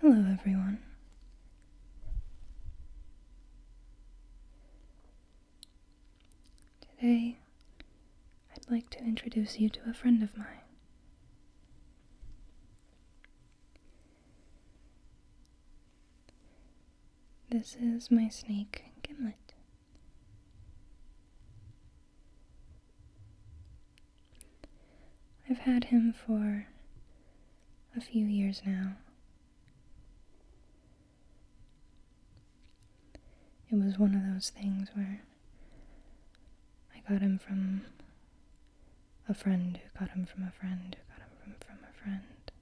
Hello, everyone. Today, I'd like to introduce you to a friend of mine. This is my snake, Gimlet. I've had him for a few years now. It was one of those things where I got him from a friend who got him from a friend who got him from, from a friend.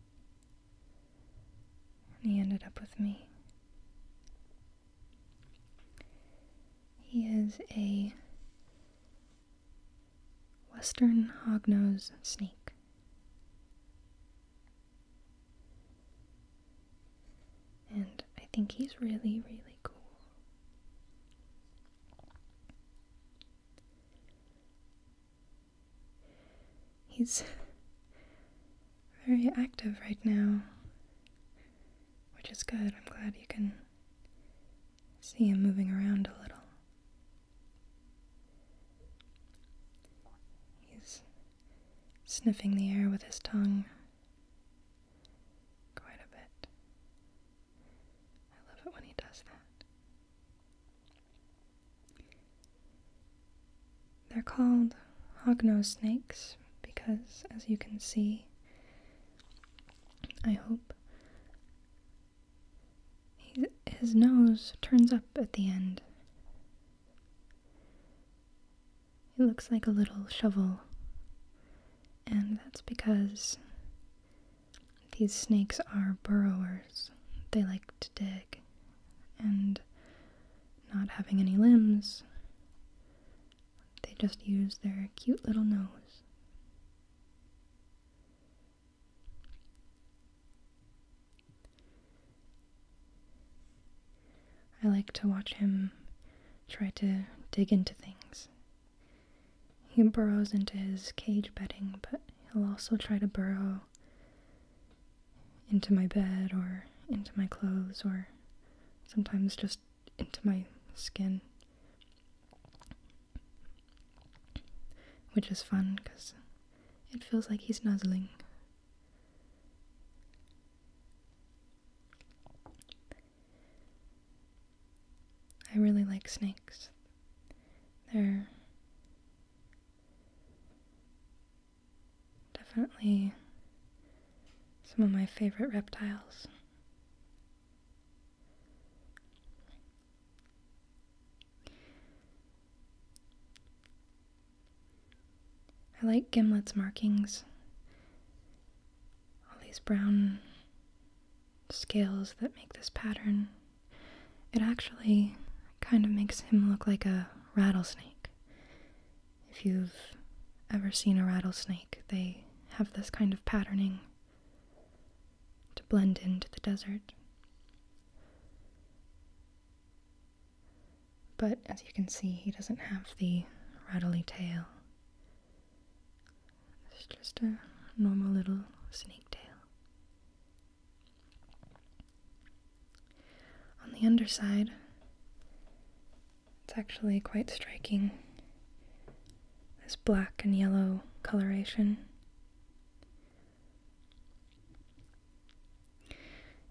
And he ended up with me. He is a western hognose snake. And I think he's really, really cool. He's very active right now which is good. I'm glad you can see him moving around a little. He's sniffing the air with his tongue quite a bit. I love it when he does that. They're called hognose snakes because, as you can see, I hope, his nose turns up at the end. It looks like a little shovel, and that's because these snakes are burrowers. They like to dig, and not having any limbs they just use their cute little nose. I like to watch him try to dig into things. He burrows into his cage bedding, but he'll also try to burrow into my bed or into my clothes or sometimes just into my skin, which is fun because it feels like he's nuzzling. I really like snakes. They're definitely some of my favorite reptiles. I like Gimlet's markings. All these brown scales that make this pattern. It actually kind of makes him look like a rattlesnake. If you've ever seen a rattlesnake, they have this kind of patterning to blend into the desert. But as you can see, he doesn't have the rattly tail. It's just a normal little snake tail. On the underside, it's actually quite striking, this black and yellow coloration.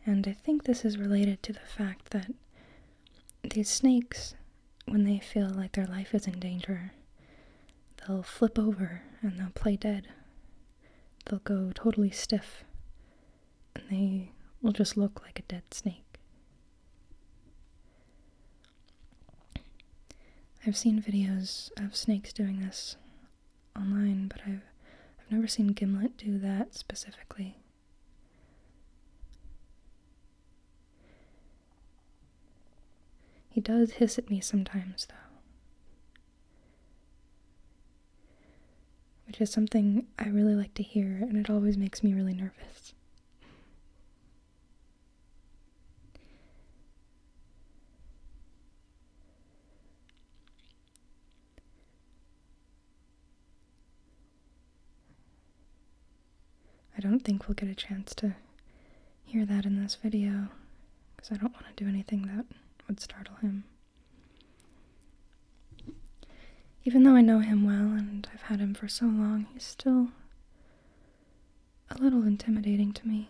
And I think this is related to the fact that these snakes, when they feel like their life is in danger, they'll flip over and they'll play dead. They'll go totally stiff and they will just look like a dead snake. I've seen videos of snakes doing this online, but I've I've never seen Gimlet do that specifically. He does hiss at me sometimes, though. Which is something I really like to hear, and it always makes me really nervous. I don't think we'll get a chance to hear that in this video because I don't want to do anything that would startle him even though I know him well and I've had him for so long, he's still a little intimidating to me.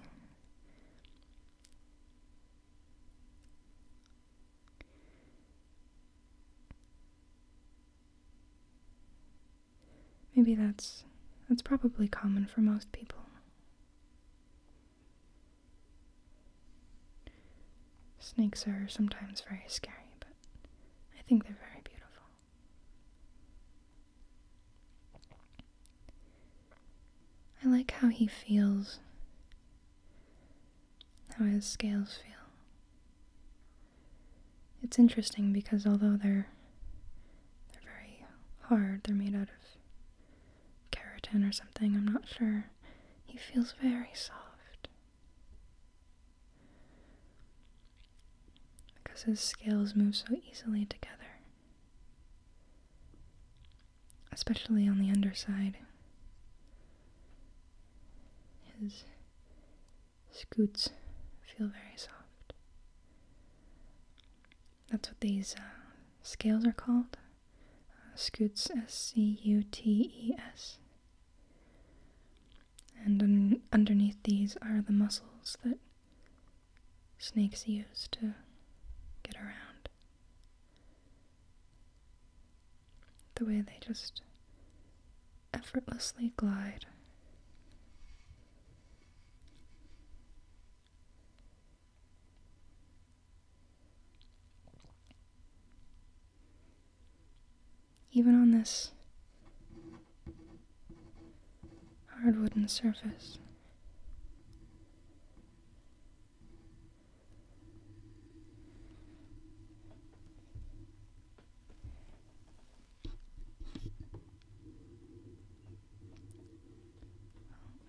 Maybe that's that's probably common for most people. Snakes are sometimes very scary, but I think they're very beautiful. I like how he feels, how his scales feel. It's interesting because although they're they're very hard, they're made out of keratin or something, I'm not sure. He feels very soft because his scales move so easily together, especially on the underside. His scoots feel very soft. That's what these uh, scales are called. Uh, scoots, S C U T E S. And underneath these are the muscles that snakes use to get around. The way they just effortlessly glide even on this hard wooden surface.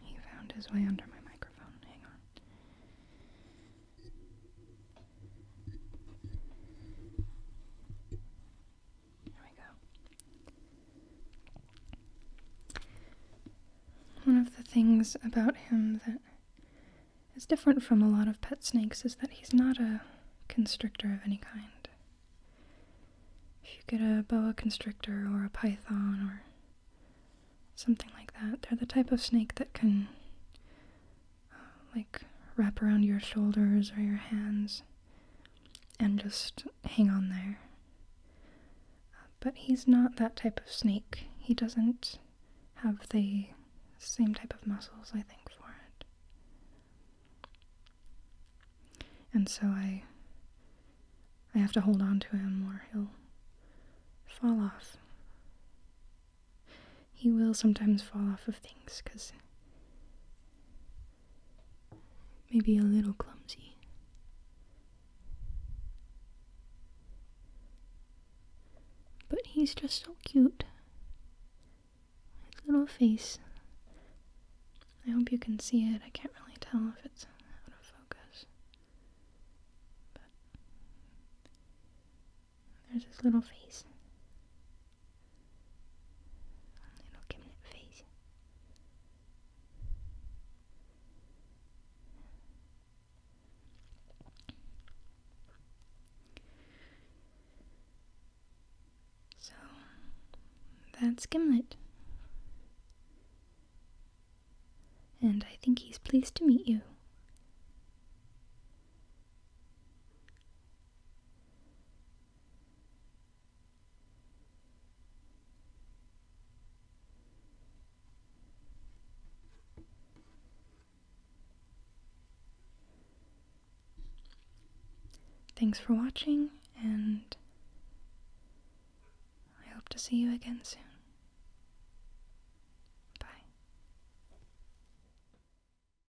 He found his way under my microphone. Hang on. There we go. One of the things about him that is different from a lot of pet snakes is that he's not a constrictor of any kind. If you get a boa constrictor or a python or something like that, they're the type of snake that can like wrap around your shoulders or your hands and just hang on there. but he's not that type of snake. He doesn't have the same type of muscles, I think, for it. And so I I have to hold on to him or he'll fall off. He will sometimes fall off of things because maybe a little clumsy. But he's just so cute. little face. I hope you can see it. I can't really tell if it's out of focus. There's this little face. Little cabinet face. So that's Gimlet. And I think he's pleased to meet you. Thanks for watching, and I hope to see you again soon.